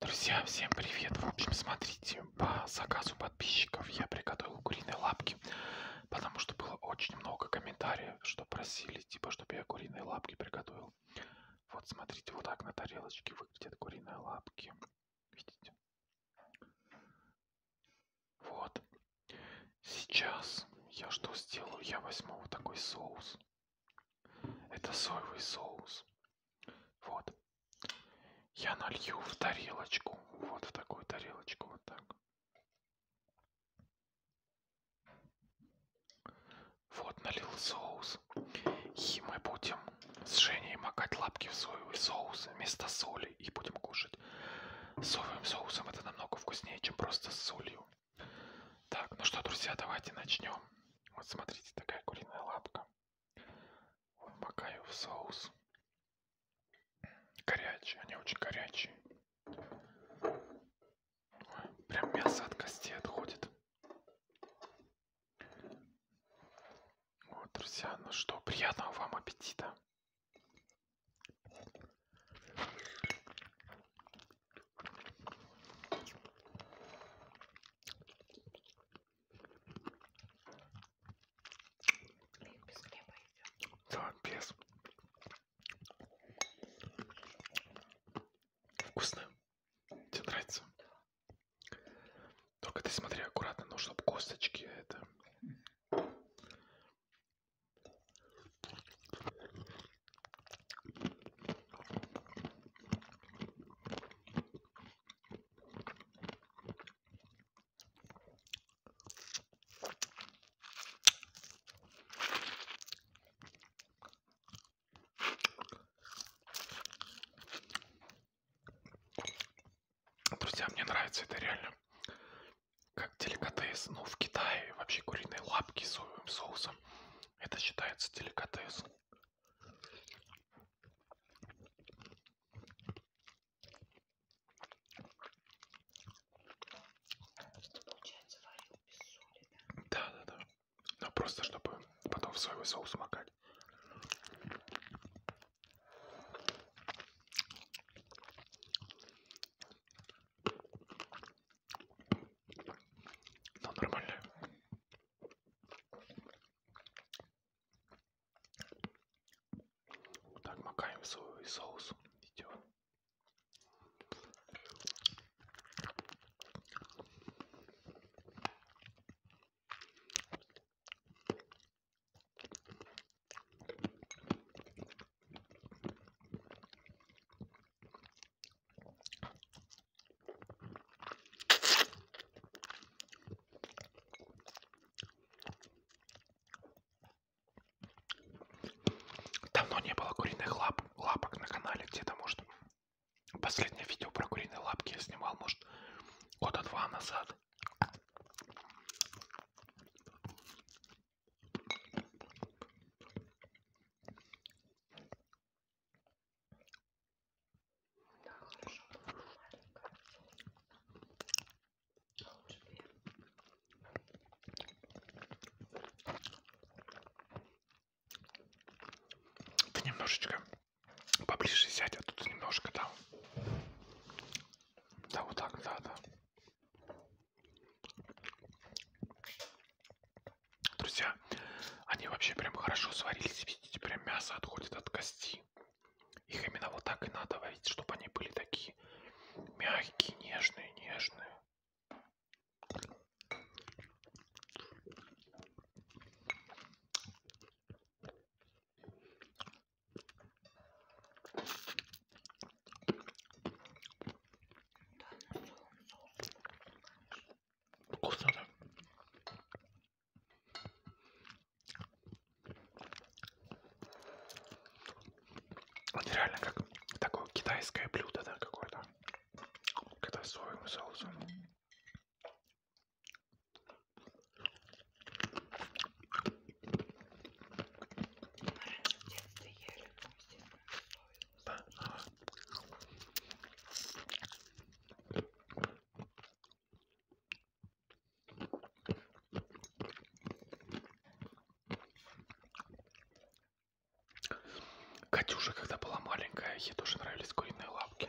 Друзья, всем привет! В общем, смотрите, по заказу подписчиков я приготовил куриные лапки, потому что было очень много комментариев, что просили, типа, чтобы я куриные лапки приготовил. Вот, смотрите, вот так на тарелочке выглядят куриные лапки. Видите? Вот. Сейчас я что сделаю? Я возьму вот такой соус. Это соевый соус. Вот. Я налью в тарелочку. Вот в такую тарелочку. Вот так. Вот налил соус. И мы будем с Женей макать лапки в соевый соус вместо соли. И будем кушать. С соевым соусом это намного вкуснее, чем просто с солью. Так, ну что, друзья, давайте начнем. Вот смотрите, такая куриная лапка. Вон макаю в соус. Горячие, они очень горячие. Ой, прям мясо от костей отходит. Вот, друзья, ну что, приятного вам аппетита без хлеба идет. Да, без. Вкусно? Тебе нравится? Да. Только ты смотри аккуратно, ну, чтобы косточки это... Друзья, мне нравится это реально. Как деликатес. Ну, в Китае вообще куриные лапки с соусом. Это считается деликатесом. Получается, варил без соли, да? Да, да, да. Но ну, просто, чтобы потом в соевый соус макать. Но ну, нормально. Вот так макаем в свой соус. Идем. Давно не было куриных лап, лапок на канале где-то, может. Последнее видео про куриные лапки я снимал, может, года два назад. Ты немножечко поближе сядь, а тут немножко там. Да, вот так, да, да. Друзья, они вообще прям хорошо сварились, видите, прям мясо отходит от кости. Их именно вот так и надо варить, чтобы они были такие мягкие, нежные, нежные. Вкусно, да? Вот реально как такое китайское блюдо, да, какое-то. Когда соевым соусом. Мы в детстве ели, ну, естественно, соевым. Катюша, когда была маленькая, ей тоже нравились куриные лапки.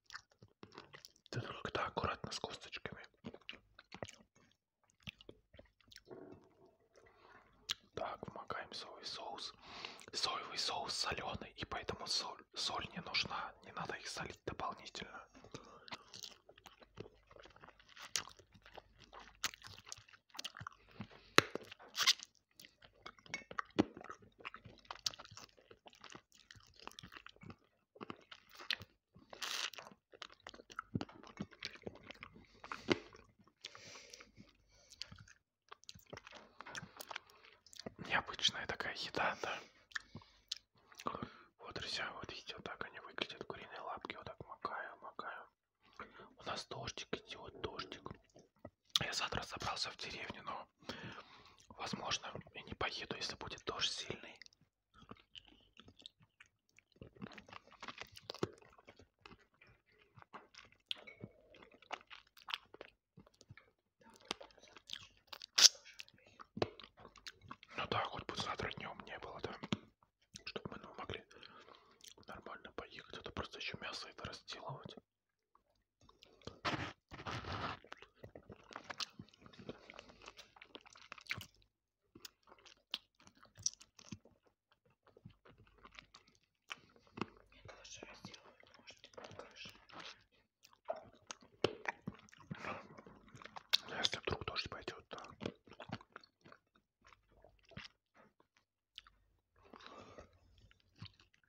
Ты только-то ну аккуратно с косточками. Так, вмокаем соевый соус. Соевый соус соленый, и поэтому соль, соль не нужна. Не надо их солить дополнительно. Необычная такая еда, да. Вот, друзья, вот видите, вот так они выглядят, куриные лапки, вот так макаю, макаю. У нас дождик идет, дождик. Я завтра собрался в деревню, но, возможно, я не поеду, если будет дождь сильный. Ну да, хоть бы завтра днем не было, да, чтобы мы ну, могли нормально поехать, это а просто еще мясо это разделывать. Нет, лучше разделывать, может, крыша. Если вдруг дождь пойдет, да.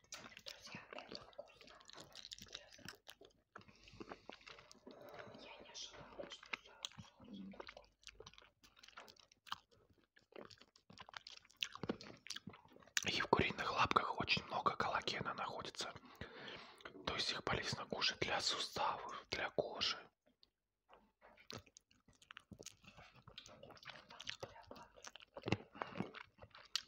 Друзья, это вкусно. Честно. Я не ожидала, что соус такой. И в куриных лапках очень много коллагена находится. То есть их полезно кушать для суставов, для кожи.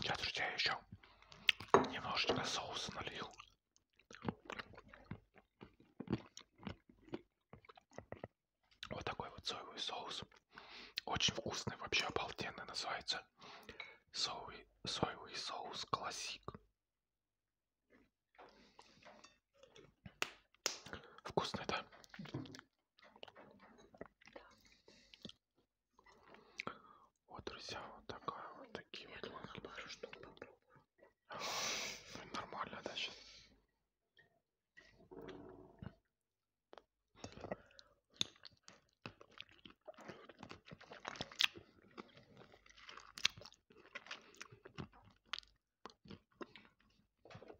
Я, друзья, еще немножечко соуса налью. Вот такой вот соевый соус. Очень вкусный, вообще обалденный. Называется соевый, соевый соус классик. Вкусный, да? Вот, друзья, вот такая вот такие Я вот маки. Ну, нормально, да, сейчас?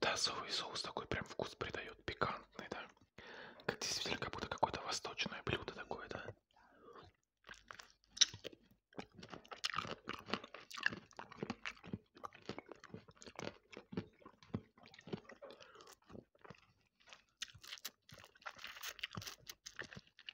Да, соевый соус такой прям вкус придает, пикантный, да. Как действительно, как будто какое-то восточное блюдо такое, да.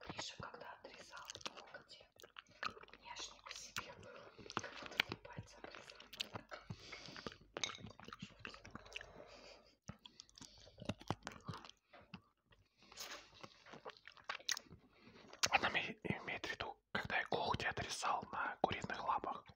Гриша, когда отрезал ногти, я ж не по себе был, как будто мне пальцем резал. Она имеет в виду, когда я когти отрезал на куриных лапах.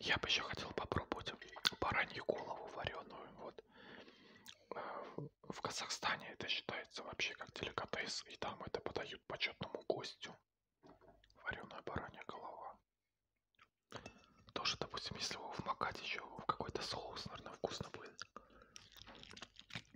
Я бы еще хотел попробовать баранью голову вареную. Вот. Э, в Казахстане это считается вообще как деликатес, и там это подают почетному гостю. Вареная баранья голова. Тоже, допустим, если его вмакать еще в какой-то соус, наверное, вкусно будет.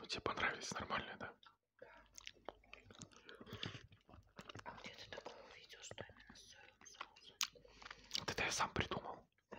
Ну тебе понравились нормальные, да? А где ты такое увидел, что именно с соевым соусом? Вот это я сам придумал. Да.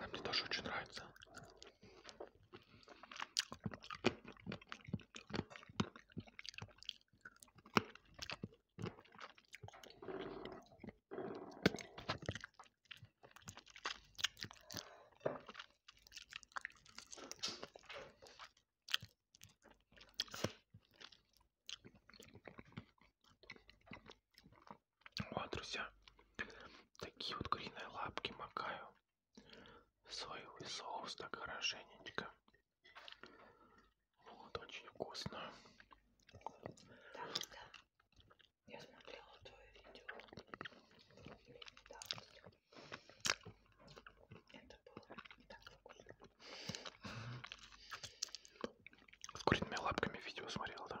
А мне тоже очень нравится. Вот, друзья, такие вот куриные лапки макаю. Соевый соус так хорошенечко. Вот, очень вкусно. Да, да. Я смотрела твое видео. Да. Это было не так вкусно с куриными лапками видео смотрел, да?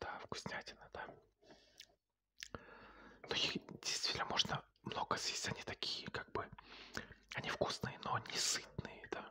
Да, вкуснятина, да. Но ну, их действительно можно много съесть, они такие, как бы, они вкусные, но не сытные, да.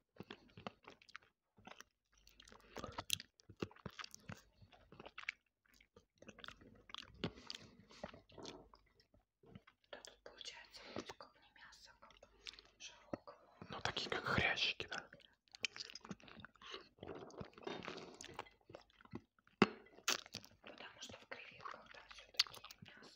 Да тут получается вроде как не мясо, как широкого. Ну такие как хрящики, да? Потому что в креветках там все-таки мясо.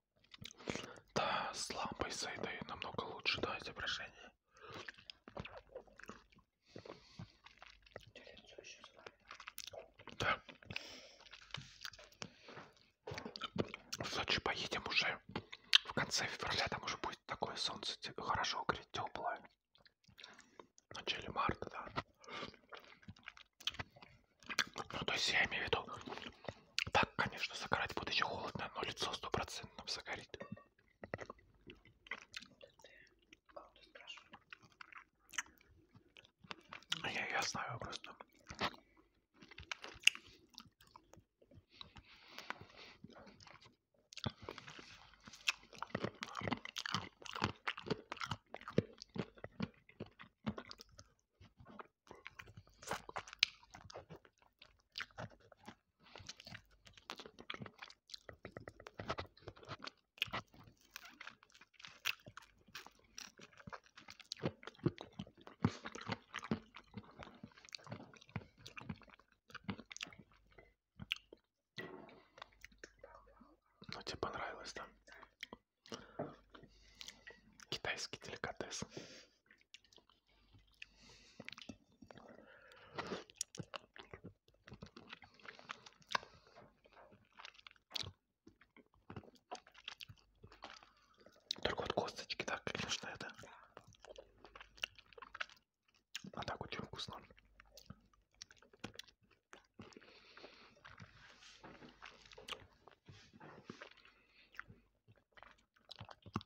Да, с лампой с этой намного лучше, да, изображение. Да. В Сочи поедем уже в конце февраля, там уже будет такое солнце хорошо греть, теплое. В начале марта, да. Ну, то есть я имею в виду, так, конечно, загорать будет еще холодно, но лицо стопроцентно загорит. Я, я знаю просто. Ну тебе понравилось, да? Китайский деликатес. Только вот косточки, да, конечно, это. А так очень вкусно.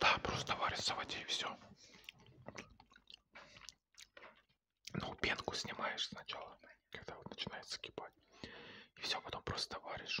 Да, просто варится в воде и все. Ну, пенку снимаешь сначала, когда вот начинает закипать. И все, потом просто варишь.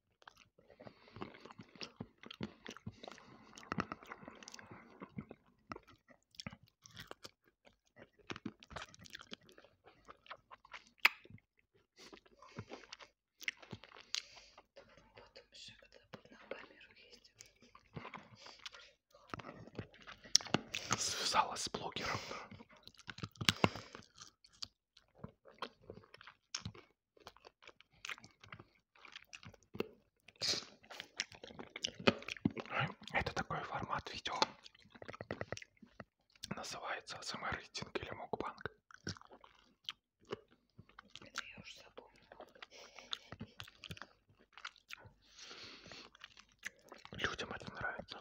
Потом еще когда буду на камеру ездить. Связалась с блогером, да. Это такой формат видео. Называется СМР рейтинг или мукбанк. Это я уже запомнила. Людям это нравится.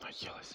Наелась.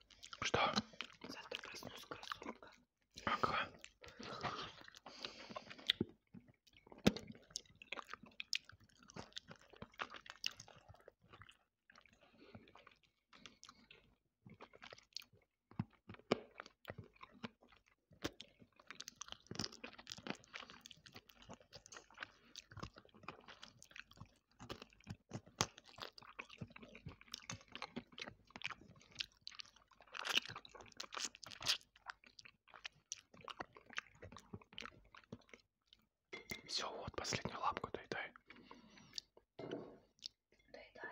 Что? Завтра проснусь красотка. Ага. Все, вот последнюю лапку доедай. Доедай.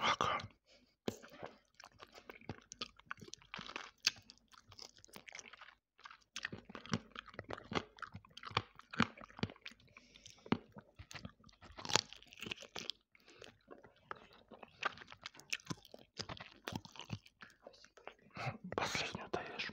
Ага. Последнюю даешь.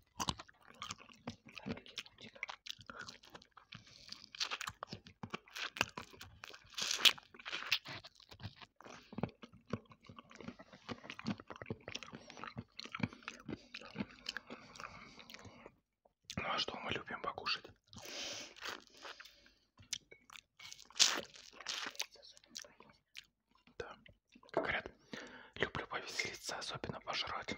Ну а что мы любим покушать? Да, как говорят, люблю повеселиться, особенно пожрать.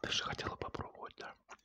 Ты же хотела попробовать, да?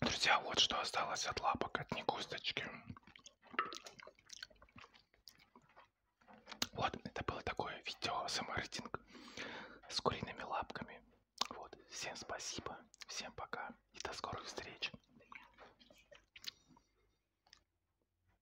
Друзья, вот что осталось от лапок, от негусточки. Вот, это было такое видео саморейтинг с куриными лапками. Вот, всем спасибо, всем пока и до скорых встреч.